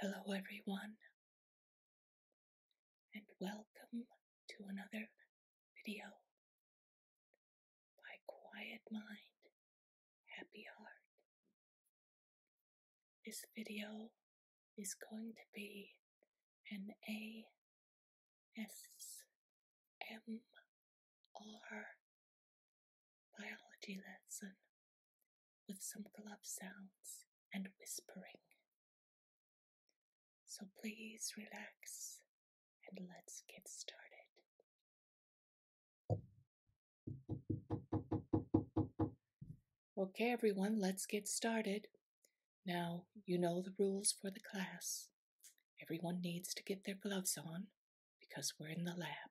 Hello, everyone, and welcome to another video by Quiet Mind, Happy Heart. This video is going to be an ASMR biology lesson with some glove sounds and whispering. So please relax and let's get started. Okay, everyone, let's get started. Now, you know the rules for the class. Everyone needs to get their gloves on because we're in the lab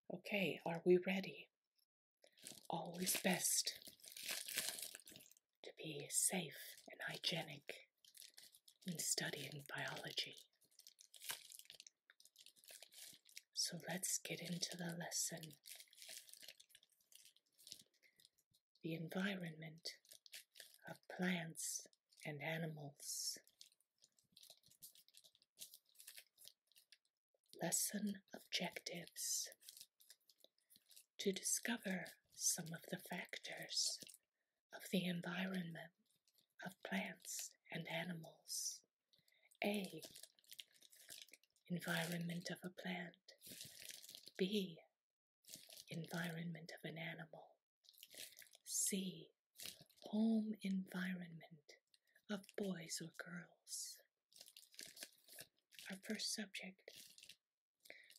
Okay, are we ready? Always best to be safe and hygienic when studying biology. So let's get into the lesson. The environment of plants and animals. Lesson objectives to discover some of the factors of the environment of plants and animals. A. Environment of a plant. B. Environment of an animal. C home environment of boys or girls. Our first subject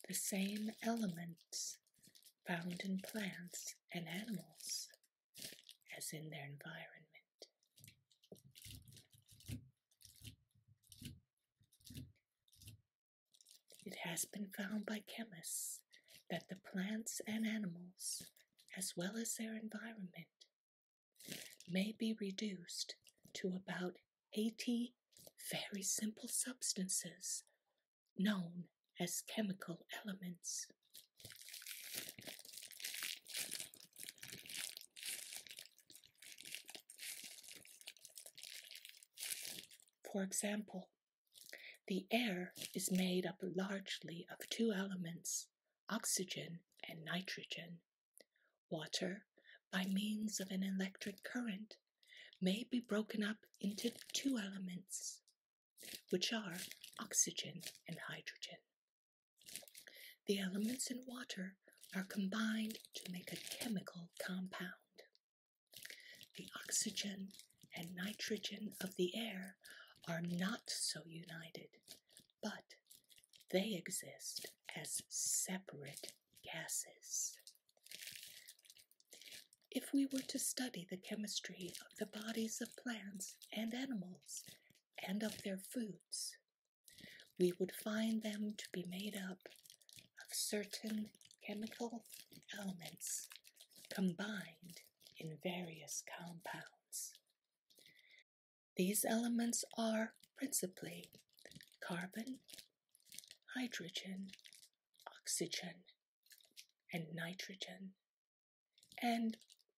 the same elements found in plants and animals as in their environment. It has been found by chemists that the plants and animals, as well as their environment, may be reduced to about 80 very simple substances known as chemical elements. For example, the air is made up largely of two elements oxygen, and nitrogen. Water, by means of an electric current, may be broken up into two elements, which are oxygen and hydrogen. The elements in water are combined to make a chemical compound. The oxygen and nitrogen of the air are not so united, but they exist as separate gases. If we were to study the chemistry of the bodies of plants and animals and of their foods, we would find them to be made up of certain chemical elements combined in various compounds. These elements are principally carbon, hydrogen, oxygen, and nitrogen, and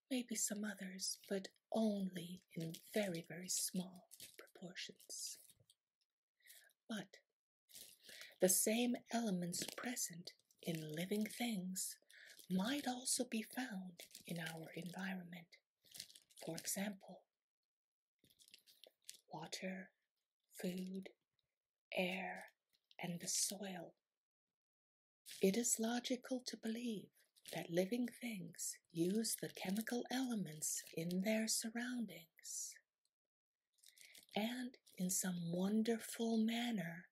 maybe some others, but only in very, very small proportions. But the same elements present in living things might also be found in our environment. For example, water, food, air, and the soil. It is logical to believe that living things use the chemical elements in their surroundings and in some wonderful manner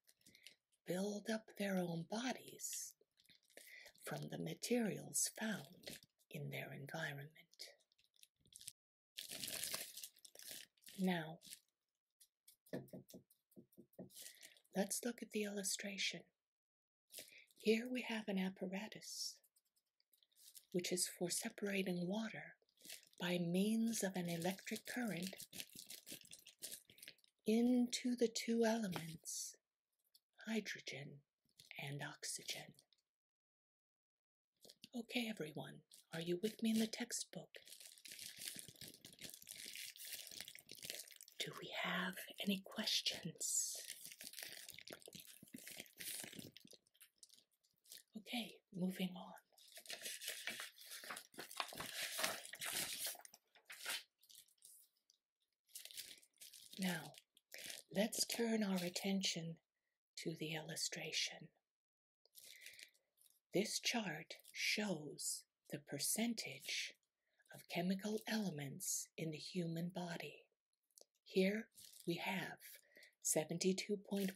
build up their own bodies from the materials found in their environment. Now, let's look at the illustration. Here we have an apparatus, which is for separating water by means of an electric current into the two elements, hydrogen and oxygen. Okay, everyone, are you with me in the textbook? Do we have any questions? Okay, moving on. Now, let's turn our attention to the illustration. This chart shows the percentage of chemical elements in the human body. Here we have 72.1%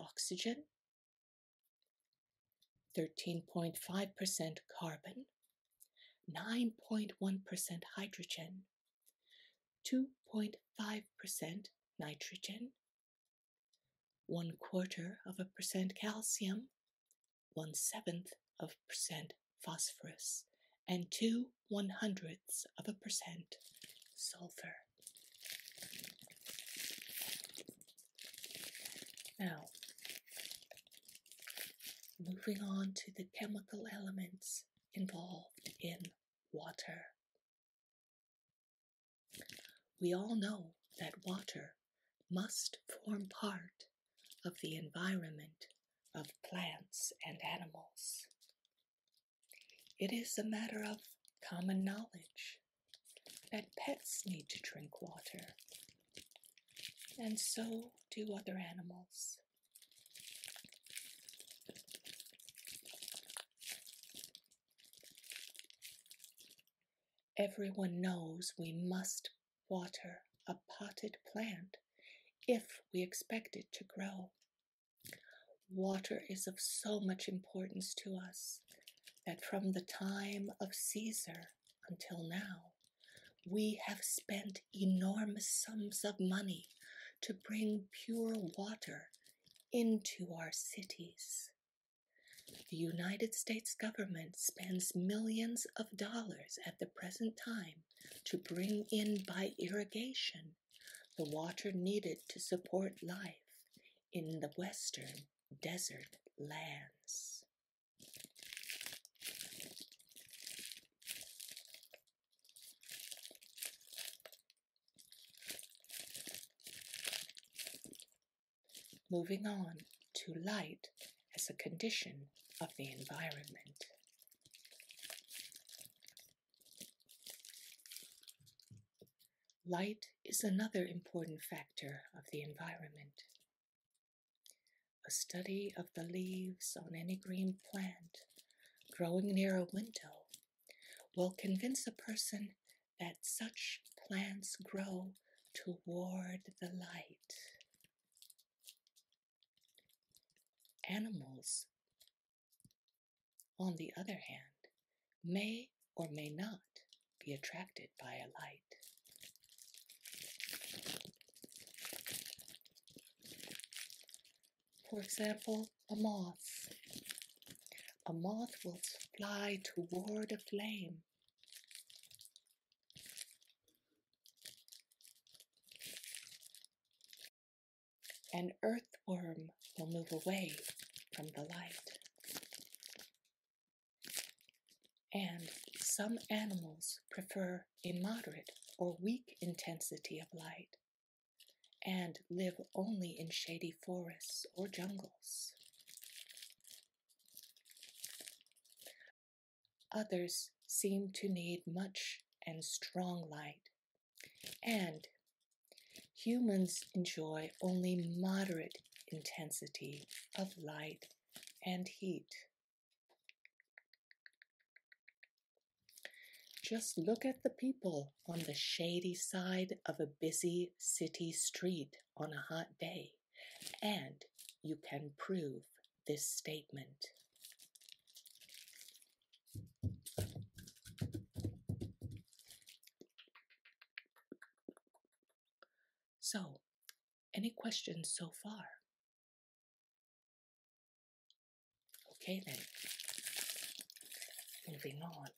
oxygen, 13.5% carbon, 9.1% hydrogen, 2.5% nitrogen, one quarter of a percent calcium, one seventh of percent phosphorus, and two one hundredths of a percent sulfur. Now, moving on to the chemical elements involved in water. We all know that water must form part of the environment of plants and animals. It is a matter of common knowledge that pets need to drink water, and so do other animals. Everyone knows we must water a potted plant if we expect it to grow. Water is of so much importance to us that from the time of Caesar, until now, we have spent enormous sums of money to bring pure water into our cities. The United States government spends millions of dollars at the present time to bring in by irrigation the water needed to support life in the western desert lands. Moving on to light as a condition of the environment. Light is another important factor of the environment. A study of the leaves on any green plant growing near a window will convince a person that such plants grow toward the light. Animals, on the other hand, may or may not be attracted by a light. For example, a moth. A moth will fly toward a flame. An earthworm will move away from the light. And some animals prefer a moderate or weak intensity of light and live only in shady forests or jungles. Others seem to need much and strong light, and humans enjoy only moderate intensity of light and heat. Just look at the people on the shady side of a busy city street on a hot day, and you can prove this statement. So, any questions so far? Okay, then, moving on.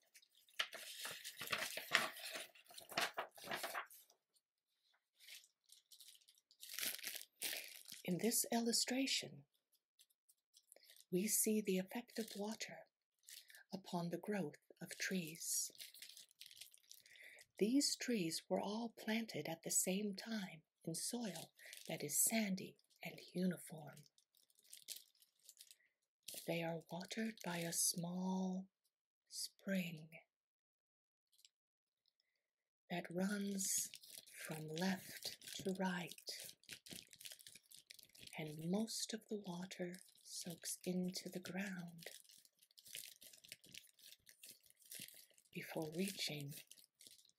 In this illustration, we see the effect of water upon the growth of trees. These trees were all planted at the same time in soil that is sandy and uniform. They are watered by a small spring that runs from left to right, and most of the water soaks into the ground before reaching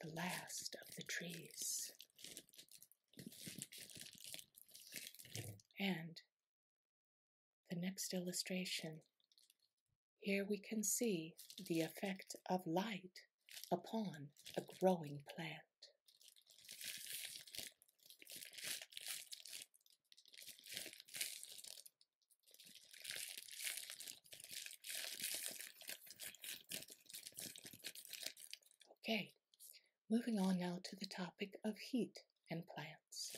the last of the trees. And the next illustration. Here we can see the effect of light upon a growing plant. Okay, moving on now to the topic of heat and plants.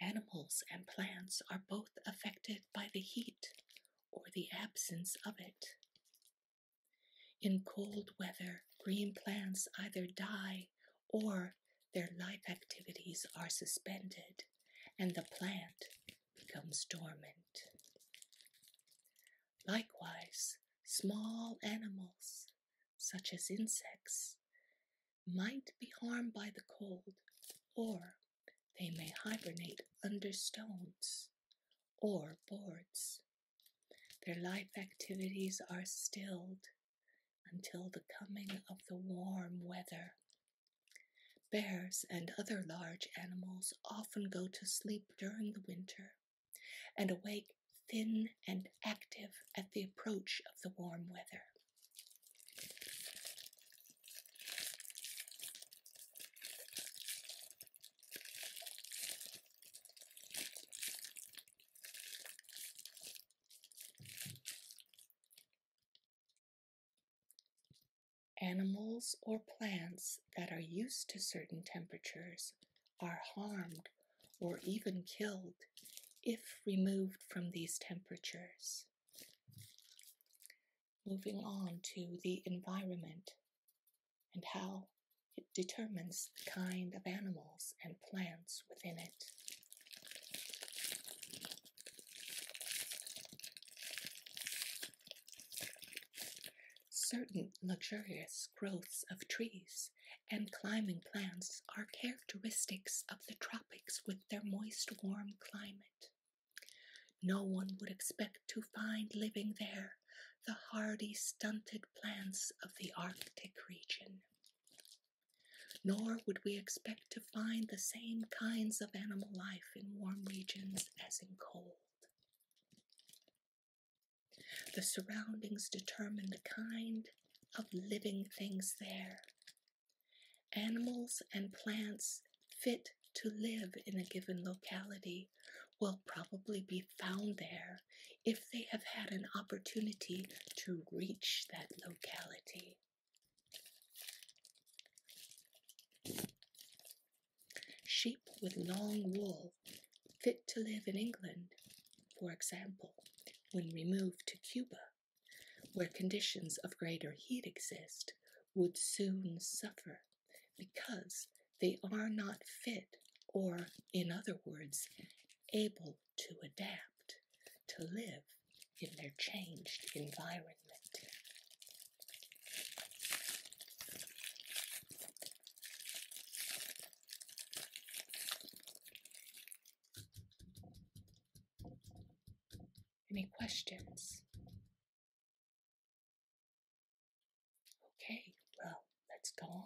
Animals and plants are both affected by the heat or the absence of it. In cold weather, green plants either die or their life activities are suspended and the plant becomes dormant. Likewise, small animals, such as insects, might be harmed by the cold, or they may hibernate under stones or boards. Their life activities are stilled until the coming of the warm weather. Bears and other large animals often go to sleep during the winter and awake thin and active at the approach of the warm weather. Animals or plants that are used to certain temperatures are harmed or even killed if removed from these temperatures. Moving on to the environment and how it determines the kind of animals and plants within it. Certain luxurious growths of trees and climbing plants are characteristics of the tropics with their moist, warm climate. No one would expect to find living there the hardy, stunted plants of the Arctic region. Nor would we expect to find the same kinds of animal life in warm regions as in cold. The surroundings determine the kind of living things there. Animals and plants fit to live in a given locality will probably be found there if they have had an opportunity to reach that locality. Sheep with long wool fit to live in England, for example, when removed to Cuba, where conditions of greater heat exist, would soon suffer because they are not fit, or, in other words, able to adapt, to live in their changed environment. Any questions? Okay, well, let's go on.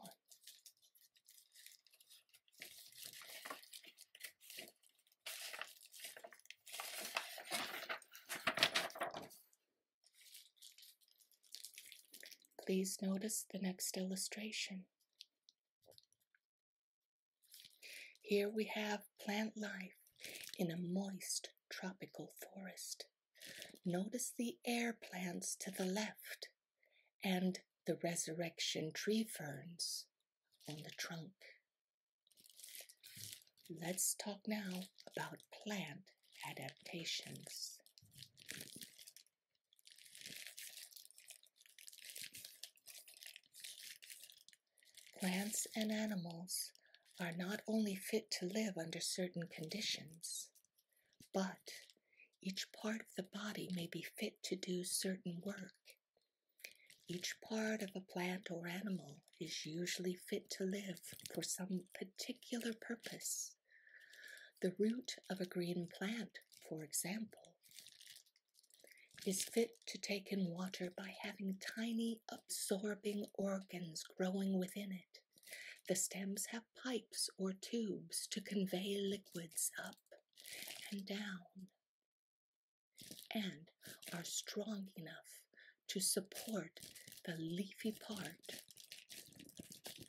Please notice the next illustration. Here we have plant life in a moist tropical forest. Notice the air plants to the left and the resurrection tree ferns on the trunk. Let's talk now about plant adaptations. Plants and animals are not only fit to live under certain conditions, but each part of the body may be fit to do certain work. Each part of a plant or animal is usually fit to live for some particular purpose. The root of a green plant, for example, is fit to take in water by having tiny absorbing organs growing within it. The stems have pipes or tubes to convey liquids up and down and are strong enough to support the leafy part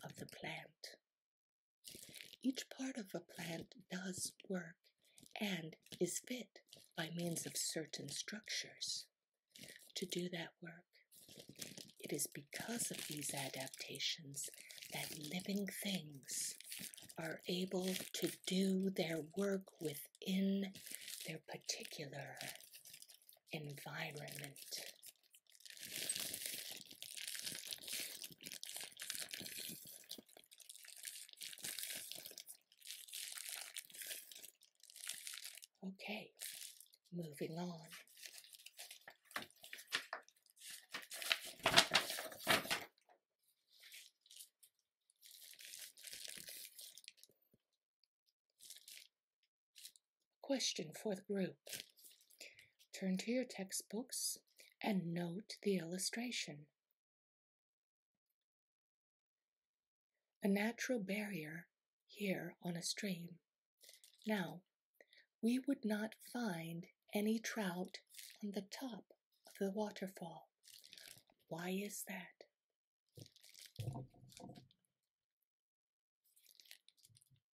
of the plant. Each part of a plant does work and is fit by means of certain structures to do that work. It is because of these adaptations that living things are able to do their work within their particular environment. Okay, moving on. Question for the group. Turn to your textbooks and note the illustration. A natural barrier here on a stream. Now we would not find any trout on the top of the waterfall. Why is that?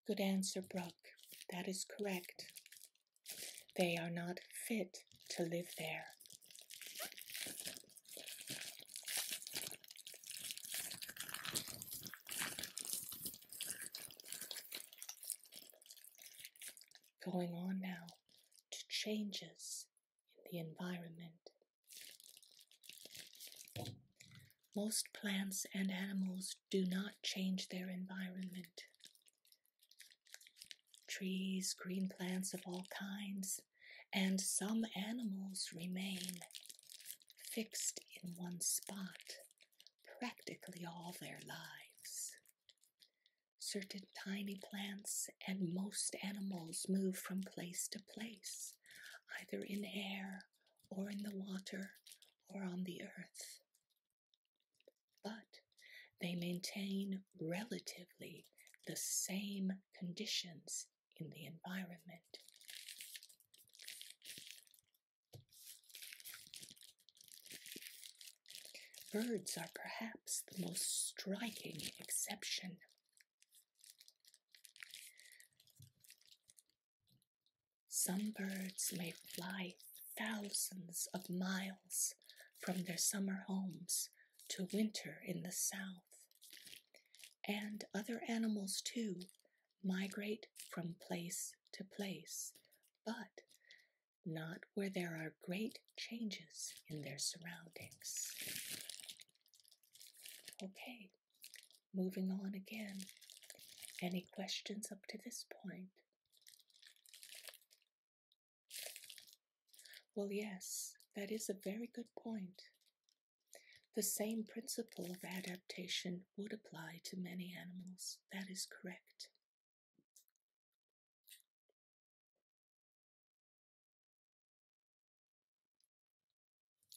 Good answer, Brooke. That is correct. They are not fit to live there going on now to changes in the environment. Most plants and animals do not change their environment. Trees, green plants of all kinds, and some animals remain fixed in one spot practically all their lives. Certain tiny plants and most animals move from place to place, either in air or in the water or on the earth. But they maintain relatively the same conditions in the environment. Birds are perhaps the most striking exception. Some birds may fly thousands of miles from their summer homes to winter in the south. And other animals, too, migrate from place to place, but not where there are great changes in their surroundings. Okay, moving on again. Any questions up to this point? Well, yes, that is a very good point. The same principle of adaptation would apply to many animals. That is correct.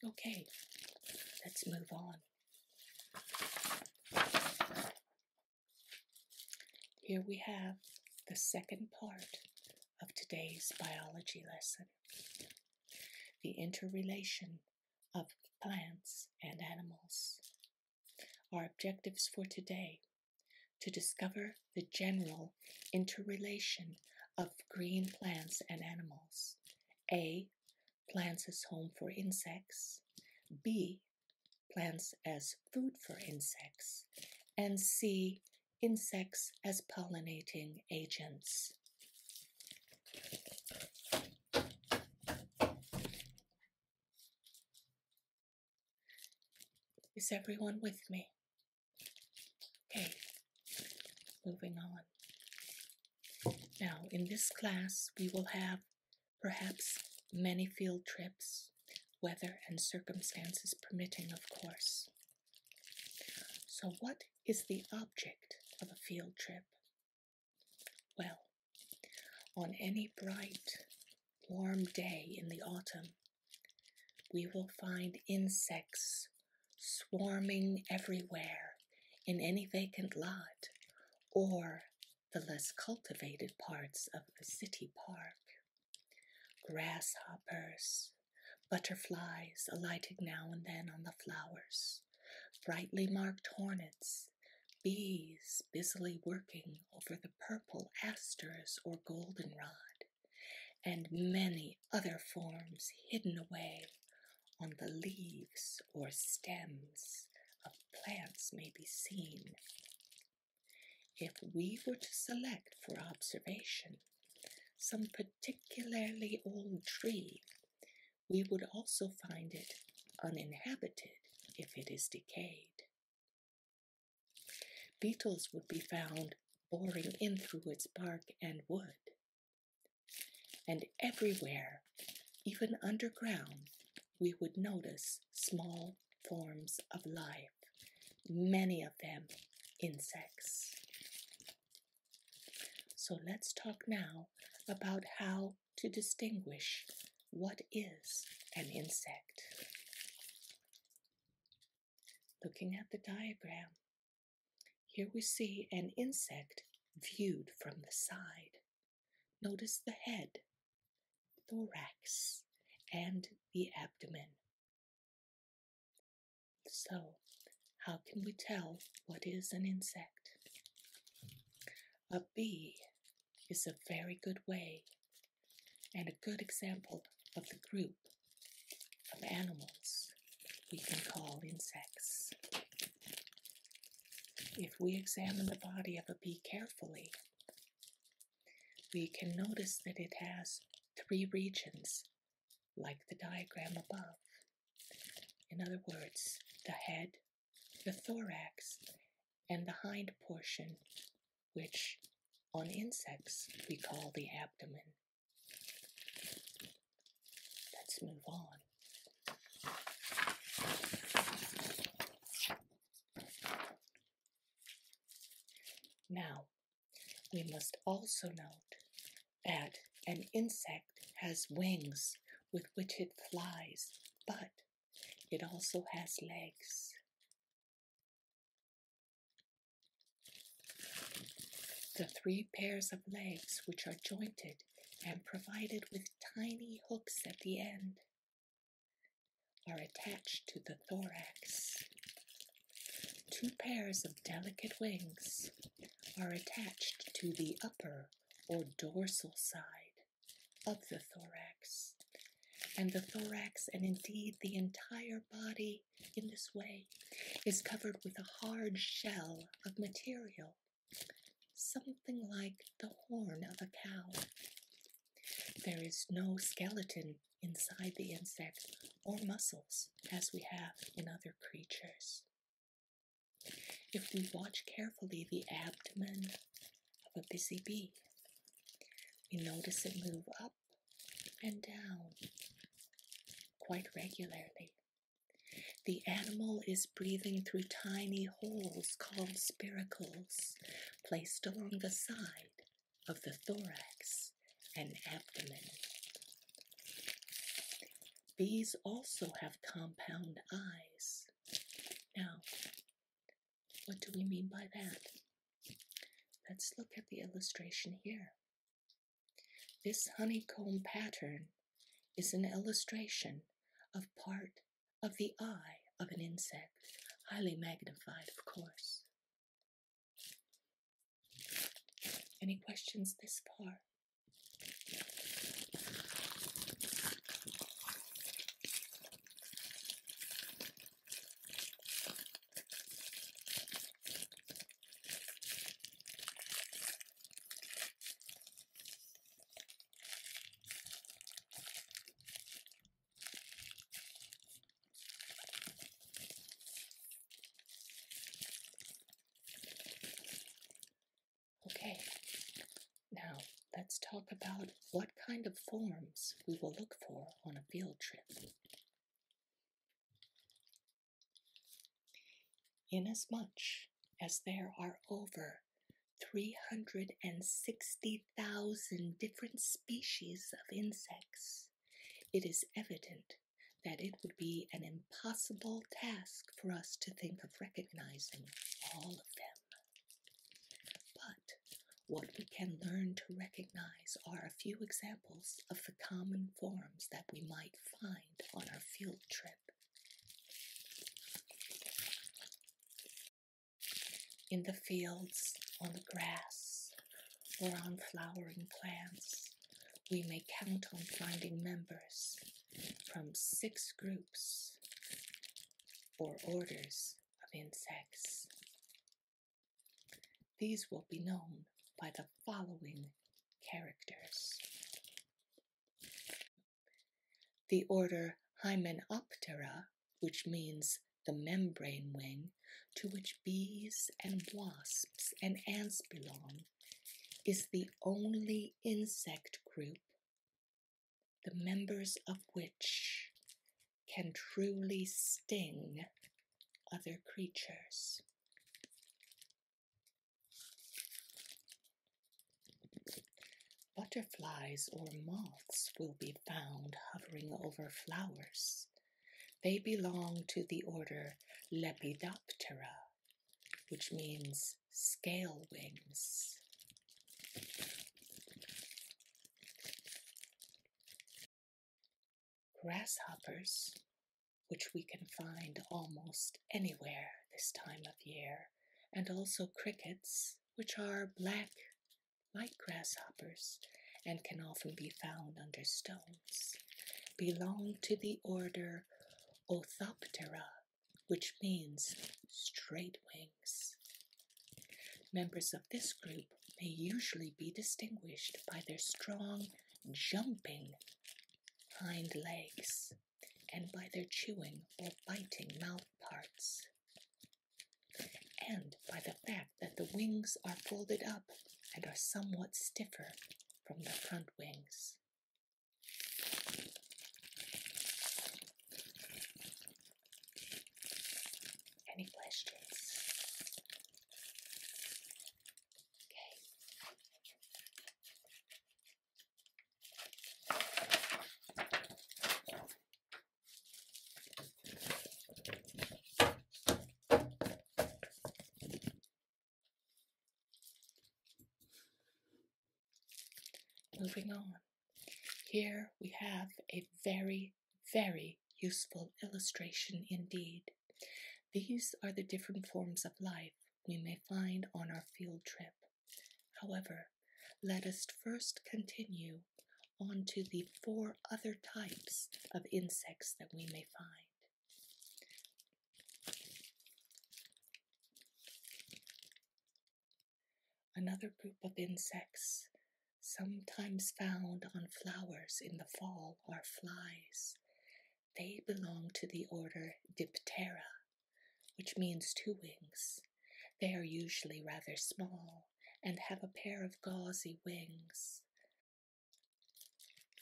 Okay, let's move on. Here we have the second part of today's biology lesson the interrelation of plants and animals. Our objectives for today to discover the general interrelation of green plants and animals. A. Plants as home for insects. B. Plants as food for insects. And C. Insects as pollinating agents. Is everyone with me? Okay, moving on. Now, in this class, we will have perhaps many field trips, weather and circumstances permitting, of course. So, what is the object of a field trip? Well, on any bright, warm day in the autumn, we will find insects swarming everywhere in any vacant lot or the less cultivated parts of the city park. Grasshoppers, butterflies alighting now and then on the flowers, brightly marked hornets, bees busily working over the purple asters or goldenrod, and many other forms hidden away on the leaves or stems of plants may be seen. If we were to select for observation some particularly old tree, we would also find it uninhabited if it is decayed. Beetles would be found boring in through its bark and wood. And everywhere, even underground, we would notice small forms of life, many of them insects. So let's talk now about how to distinguish what is an insect. Looking at the diagram, here we see an insect viewed from the side. Notice the head, thorax, and the abdomen. So, how can we tell what is an insect? A bee is a very good way and a good example of the group of animals we can call insects. If we examine the body of a bee carefully, we can notice that it has three regions like the diagram above. In other words, the head, the thorax, and the hind portion, which on insects we call the abdomen. Let's move on. Now, we must also note that an insect has wings with which it flies, but it also has legs. The three pairs of legs, which are jointed and provided with tiny hooks at the end, are attached to the thorax. Two pairs of delicate wings are attached to the upper or dorsal side of the thorax, and the thorax, and indeed the entire body in this way, is covered with a hard shell of material, something like the horn of a cow. There is no skeleton inside the insect or muscles as we have in other creatures. If we watch carefully the abdomen of a busy bee, we notice it move up and down quite regularly. The animal is breathing through tiny holes called spiracles placed along the side of the thorax and abdomen. Bees also have compound eyes. Now, what do we mean by that? Let's look at the illustration here. This honeycomb pattern is an illustration of part of the eye of an insect, highly magnified, of course. Any questions this far? Okay, now let's talk about what kind of forms we will look for on a field trip. Inasmuch as there are over 360,000 different species of insects, it is evident that it would be an impossible task for us to think of recognizing all of them. But what we can learn to recognize are a few examples of the common forms that we might find on our field trip. In the fields, on the grass, or on flowering plants, we may count on finding members from six groups or orders of insects. These will be known by the following characters. The order Hymenoptera, which means the membrane wing, to which bees and wasps and ants belong, is the only insect group the members of which can truly sting other creatures. Butterflies or moths will be found hovering over flowers. They belong to the order Lepidoptera, which means scale wings. Grasshoppers, which we can find almost anywhere this time of year, and also crickets, which are black like grasshoppers and can often be found under stone belong to the order Orthoptera, which means straight wings. Members of this group may usually be distinguished by their strong jumping hind legs and by their chewing or biting mouth parts, and by the fact that the wings are folded up and are somewhat stiffer from the front wings. Any questions? Okay. Moving on, here we have a very, very useful illustration indeed. These are the different forms of life we may find on our field trip. However, let us first continue on to the four other types of insects that we may find. Another group of insects, sometimes found on flowers in the fall, are flies. They belong to the order Diptera, which means two wings. They are usually rather small and have a pair of gauzy wings.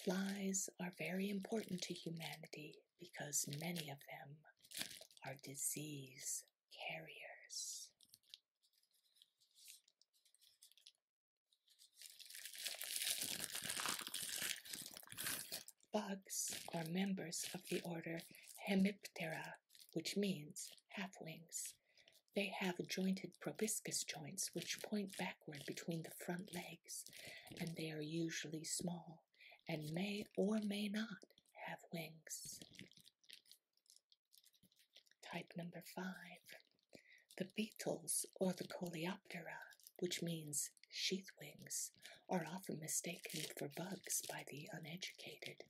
Flies are very important to humanity because many of them are disease carriers. Bugs are members of the order Hemiptera, which means half wings. They have jointed proboscis joints which point back between the front legs, and they are usually small and may or may not have wings. Type number five, the beetles or the coleoptera, which means sheath wings, are often mistaken for bugs by the uneducated,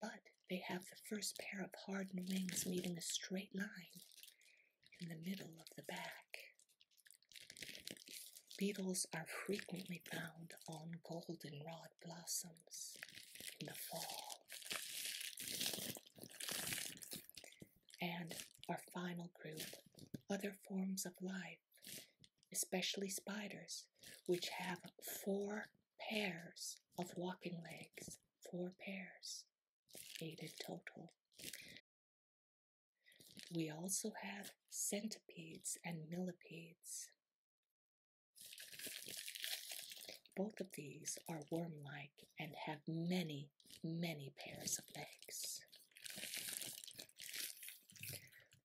but they have the first pair of hardened wings meeting a straight line in the middle of the back. Beetles are frequently found on goldenrod blossoms in the fall. And our final group, other forms of life, especially spiders, which have four pairs of walking legs, four pairs, eight in total. We also have centipedes and millipedes. Both of these are worm like and have many, many pairs of legs.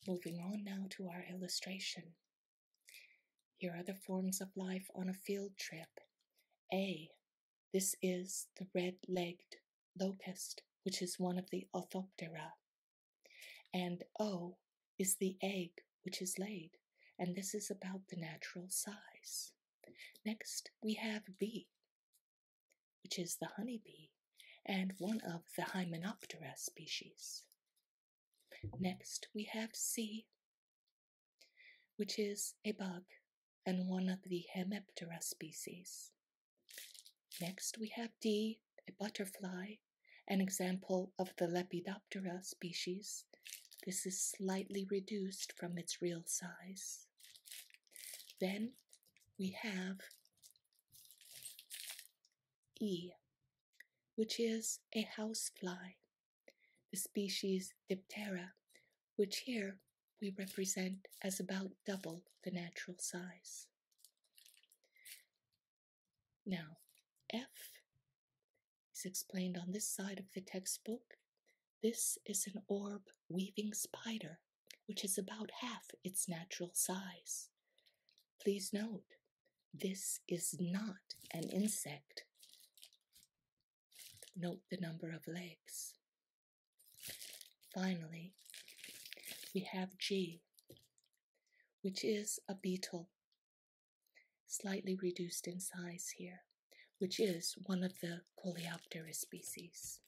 Moving on now to our illustration. Here are the forms of life on a field trip. A this is the red legged locust, which is one of the Orthoptera. And O oh, is the egg which is laid, and this is about the natural size. Next, we have B, which is the honeybee and one of the Hymenoptera species. Next, we have C, which is a bug and one of the Hemiptera species. Next, we have D, a butterfly, an example of the Lepidoptera species. This is slightly reduced from its real size. Then we have E, which is a house fly, the species Diptera, which here we represent as about double the natural size. Now, F is explained on this side of the textbook. This is an orb weaving spider, which is about half its natural size. Please note, this is not an insect. Note the number of legs. Finally, we have G, which is a beetle, slightly reduced in size here, which is one of the Coleoptera species.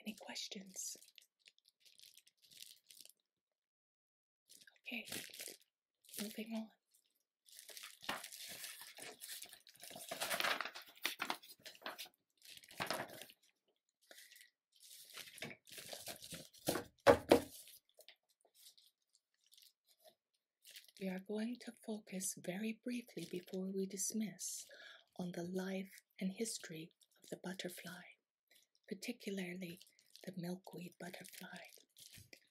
Any questions? Okay, moving on. We are going to focus very briefly before we dismiss on the life and history of the butterfly particularly the milkweed butterfly.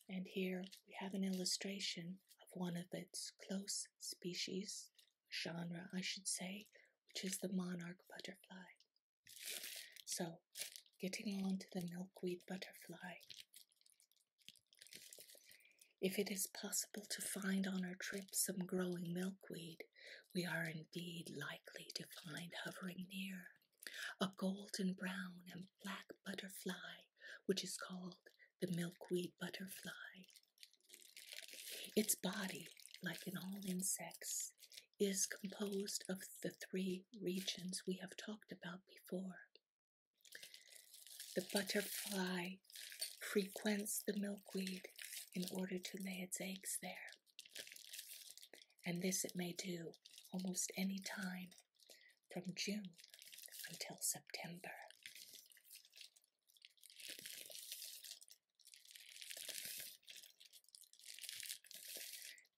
And here we have an illustration of one of its close species, genre I should say, which is the monarch butterfly. So, getting on to the milkweed butterfly. If it is possible to find on our trip some growing milkweed, we are indeed likely to find hovering near a golden brown and black butterfly, which is called the milkweed butterfly. Its body, like in all insects, is composed of the three regions we have talked about before. The butterfly frequents the milkweed in order to lay its eggs there and this it may do almost any time from June until September.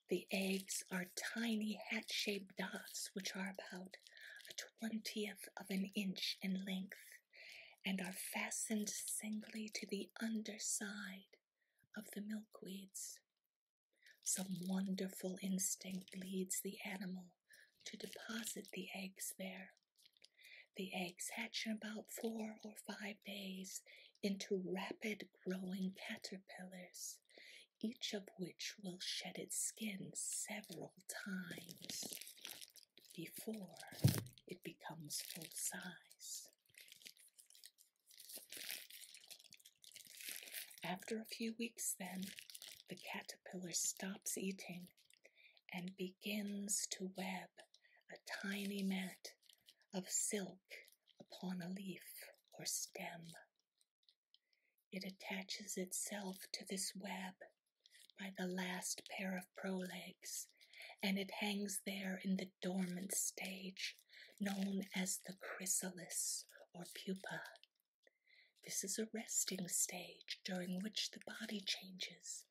The eggs are tiny hat shaped dots, which are about a twentieth of an inch in length and are fastened singly to the underside of the milkweeds. Some wonderful instinct leads the animal to deposit the eggs there. The eggs hatch in about four or five days into rapid growing caterpillars, each of which will shed its skin several times before it becomes full size. After a few weeks, then, the caterpillar stops eating and begins to web a tiny mat of silk upon a leaf or stem. It attaches itself to this web by the last pair of prolegs, and it hangs there in the dormant stage known as the chrysalis or pupa. This is a resting stage during which the body changes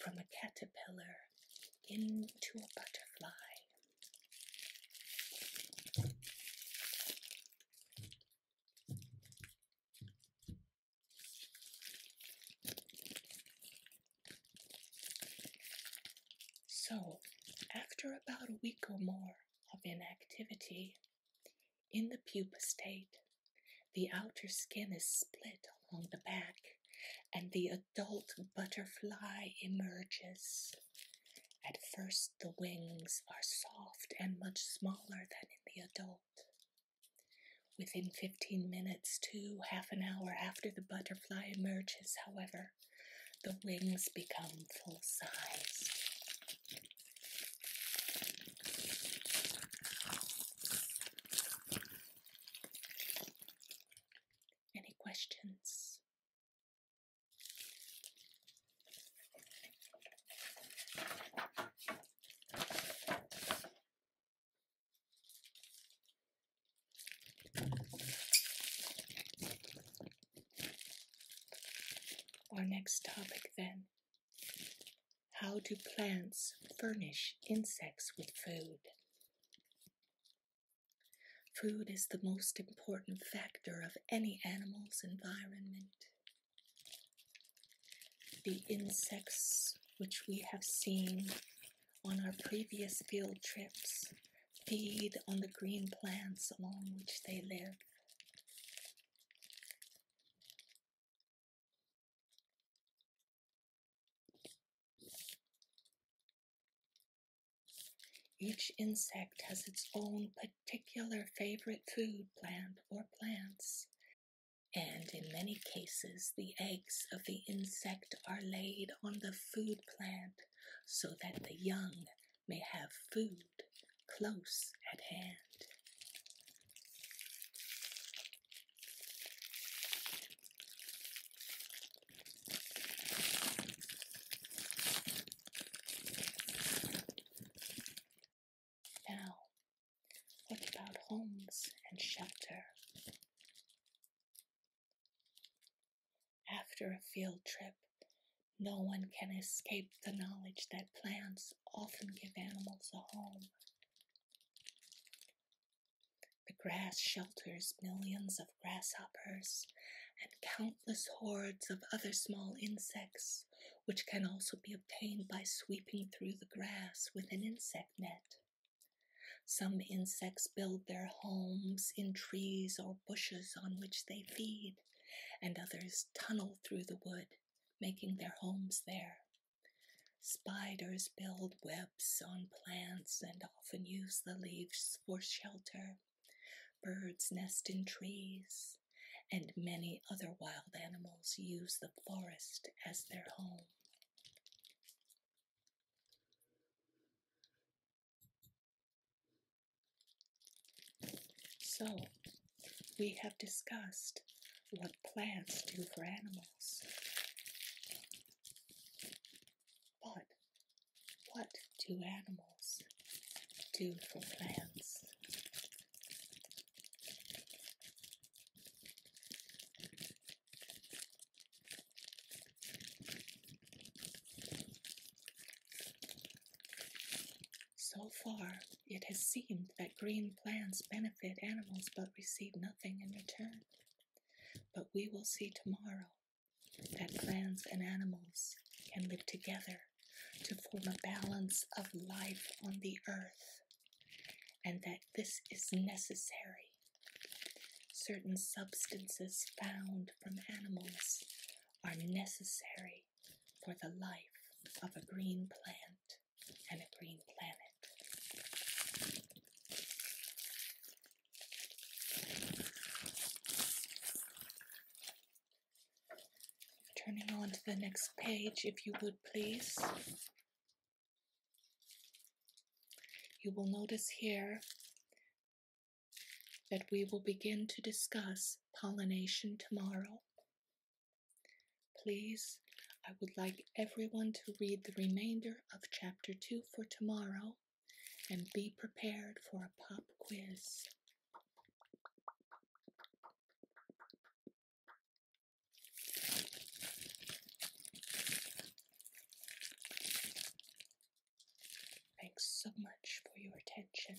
from a caterpillar into a butterfly. So, after about a week or more of inactivity, in the pupa state, the outer skin is split along the back and the adult butterfly emerges. At first, the wings are soft and much smaller than in the adult. Within 15 minutes, it's two half an hour after the butterfly emerges, however, the wings become full size. Any questions? Our next topic then how do plants furnish insects with food? Food is the most important factor of any animal's environment. The insects which we have seen on our previous field trips feed on the green plants along which they live. Each insect has its own particular favorite food plant or plants, and in many cases, the eggs of the insect are laid on the food plant so that the young may have food close at hand. Now, what about homes and shelter? After a field trip, no one can escape the knowledge that plants often give animals a home. The grass shelters millions of grasshoppers and countless hordes of other small insects, which can also be obtained by sweeping through the grass with an insect net. Some insects build their homes in trees or bushes on which they feed, and others tunnel through the wood, making their homes there. Spiders build webs on plants and often use the leaves for shelter. Birds nest in trees, and many other wild animals use the forest as their home. So, we have discussed what plants do for animals. But what do animals do for plants? So far, it has seemed that green plants benefit animals but receive nothing in return. But we will see tomorrow that plants and animals can live together to form a balance of life on the earth, and that this is necessary Certain substances found from animals are necessary for the life of a green plant and a green planet. Turning on to the next page, if you would please. You will notice here that we will begin to discuss pollination tomorrow. Please, I would like everyone to read the remainder of Chapter 2 for tomorrow and be prepared for a pop quiz. Thanks so much for your attention.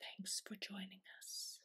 Thanks for joining us.